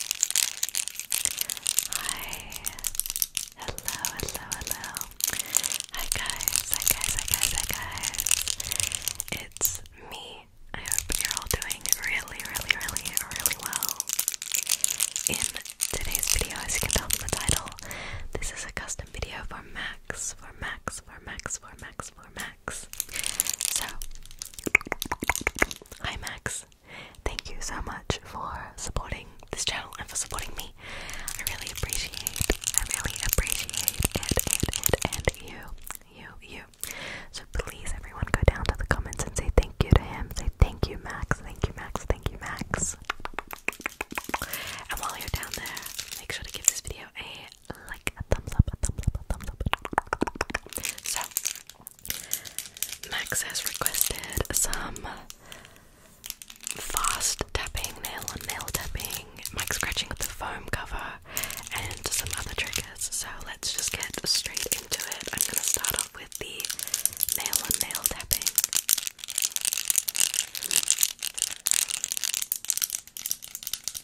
Hi. Hello, hello, hello. Hi guys, hi guys, hi guys, hi guys. It's me. I hope you're all doing really, really, really, really well. In today's video, as you can tell from the title, this is a custom video for Max, for Max, for Max, for Max, for Max. So, hi Max. Thank you so much for supporting this channel and for supporting me. I really appreciate, I really appreciate it, it, it, and you, you, you. So please, everyone, go down to the comments and say thank you to him. Say thank you, Max. Thank you, Max. Thank you, Max. And while you're down there, make sure to give this video a like, a thumbs up, a thumbs up, a thumbs up. So, Max has requested some fast tapping, nail on nail tapping, mic scratching with the foam cover, and some other triggers. So let's just get straight into it. I'm gonna start off with the nail on nail tapping.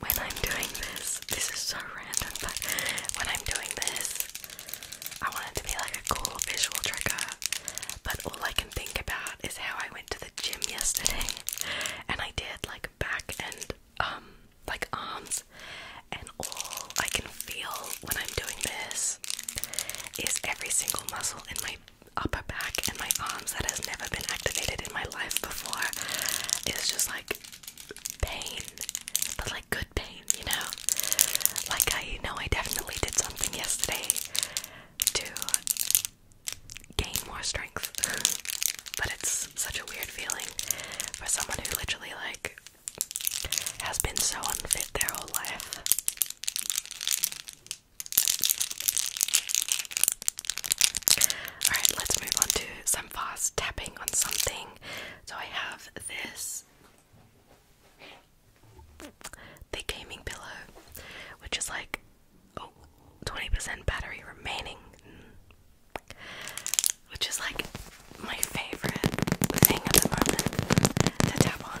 When I'm doing this, this is so random, but when I'm doing this, I wanted to be like a cool visual trigger, but all I can think about is how I went to the gym yesterday and I did like back and um like arms and all I can feel when I'm doing this is every single muscle in my upper back and my arms that has never been activated in my life before. is just like pain, but like good pain, you know? Like, I know I definitely did something yesterday to gain more strength, but it's such a weird feeling for someone who literally, like, has been so unfit their whole life. Alright, let's move on to some fast tapping on something. So I have this the gaming pillow, which is like oh 20% battery remaining. Which is like my favorite thing at the moment to tap on.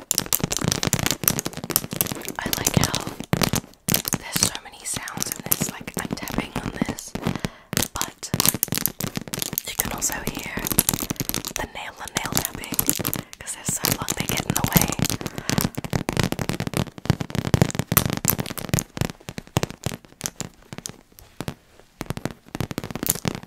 I like how there's so many sounds in this, like I'm tapping on this, but you can also hear the nail and nail tapping because they're so long they get in the way.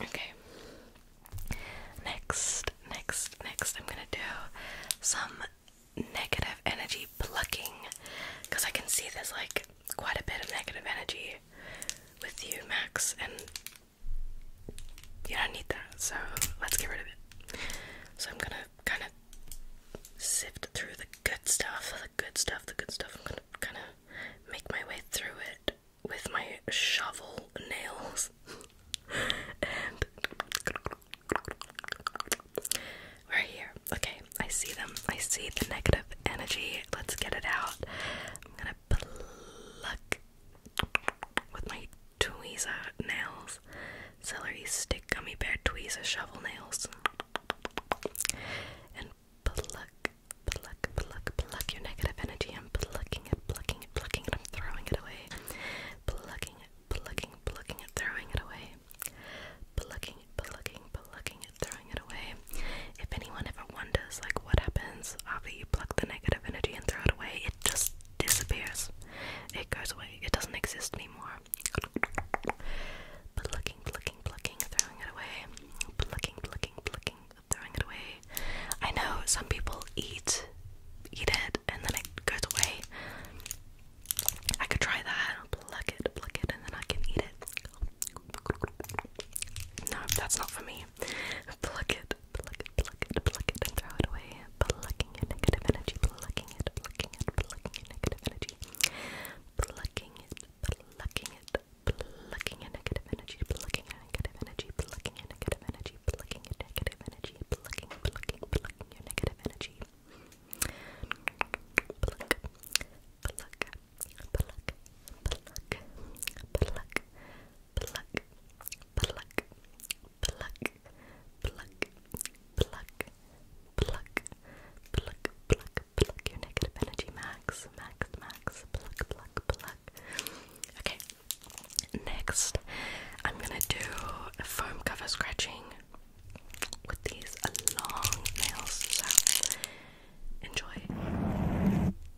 Okay. Next, next, next, I'm gonna do some negative energy plucking because I can see there's like quite a bit of negative energy with you, Max, and you don't need that, so let's get rid of it. So I'm gonna kind of sift through the good stuff, the good stuff, the good stuff. I'm gonna kind of make my way through it with my shovel nails. we're here. Okay, I see them. I see the negative energy. Let's get it out. I'm gonna pluck with my tweezer nails, celery stick gummy bear tweezer shovel nails, and pluck, pluck, pluck, pluck your negative energy. I'm plucking it, plucking it, plucking it. I'm throwing it away, plucking it, plucking, plucking it, throwing it away, plucking it, plucking, plucking it, throwing it away. If anyone ever wonders like what happens after you pluck the negative energy and throw it away, it just disappears. It goes away. It doesn't exist anymore. Plucking, plucking, plucking, throwing it away. Plucking, plucking, plucking, throwing it away. I know some people eat eat it and then it goes away. I could try that. Pluck it, pluck it, and then I can eat it. No, that's not for me energy. Pluck it, pluck it, pluck it, pluck it, and throw it away. Plucking your negative energy, plucking it, plucking it, plucking your negative energy. Plucking it, plucking it, plucking your negative energy, plucking your negative energy, plucking your negative energy, plucking your negative energy, plucking, plucking, plucking your negative energy. pluck, pluck, pluck, pluck, pluck, pluck, pluck, pluck, pluck, pluck, pluck, pluck, pluck, pluck your negative energy, max, max, max, pluck, pluck, pluck. Okay, next I'm gonna do a foam cover scratching with these long nails, so enjoy.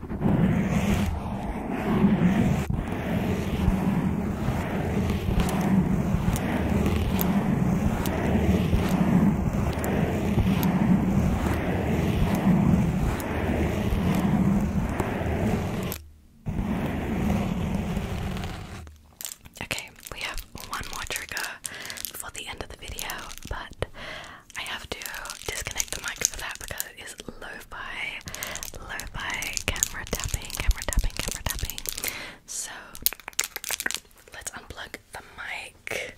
Okay, we have one more trigger before the end of the video, but I have to disconnect the mic for that because it is lo-fi, lo-fi camera tapping, camera tapping, camera tapping. So let's unplug the mic.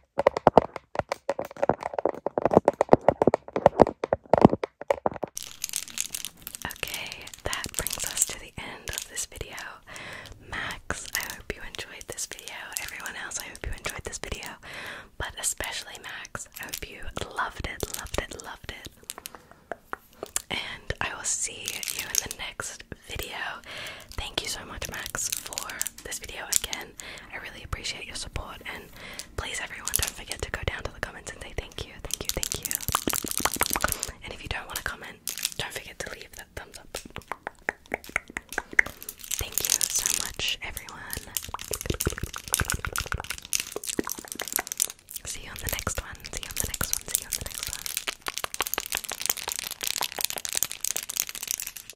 Okay, that brings us to the end of this video. Max, I hope you enjoyed this video. Everyone else, I hope you enjoyed this video. But especially Max, I hope you loved it, loved it, loved it. And I will see you in the next video. Thank you so much, Max, for this video again. I really appreciate your support, and please, everyone, don't forget to go down to the comments and say thank you, thank you, thank you. And if you don't want to comment, don't forget to leave that thumbs up. Thank you so much, everyone. See you on the next one. See you on the next one. See you on the next one.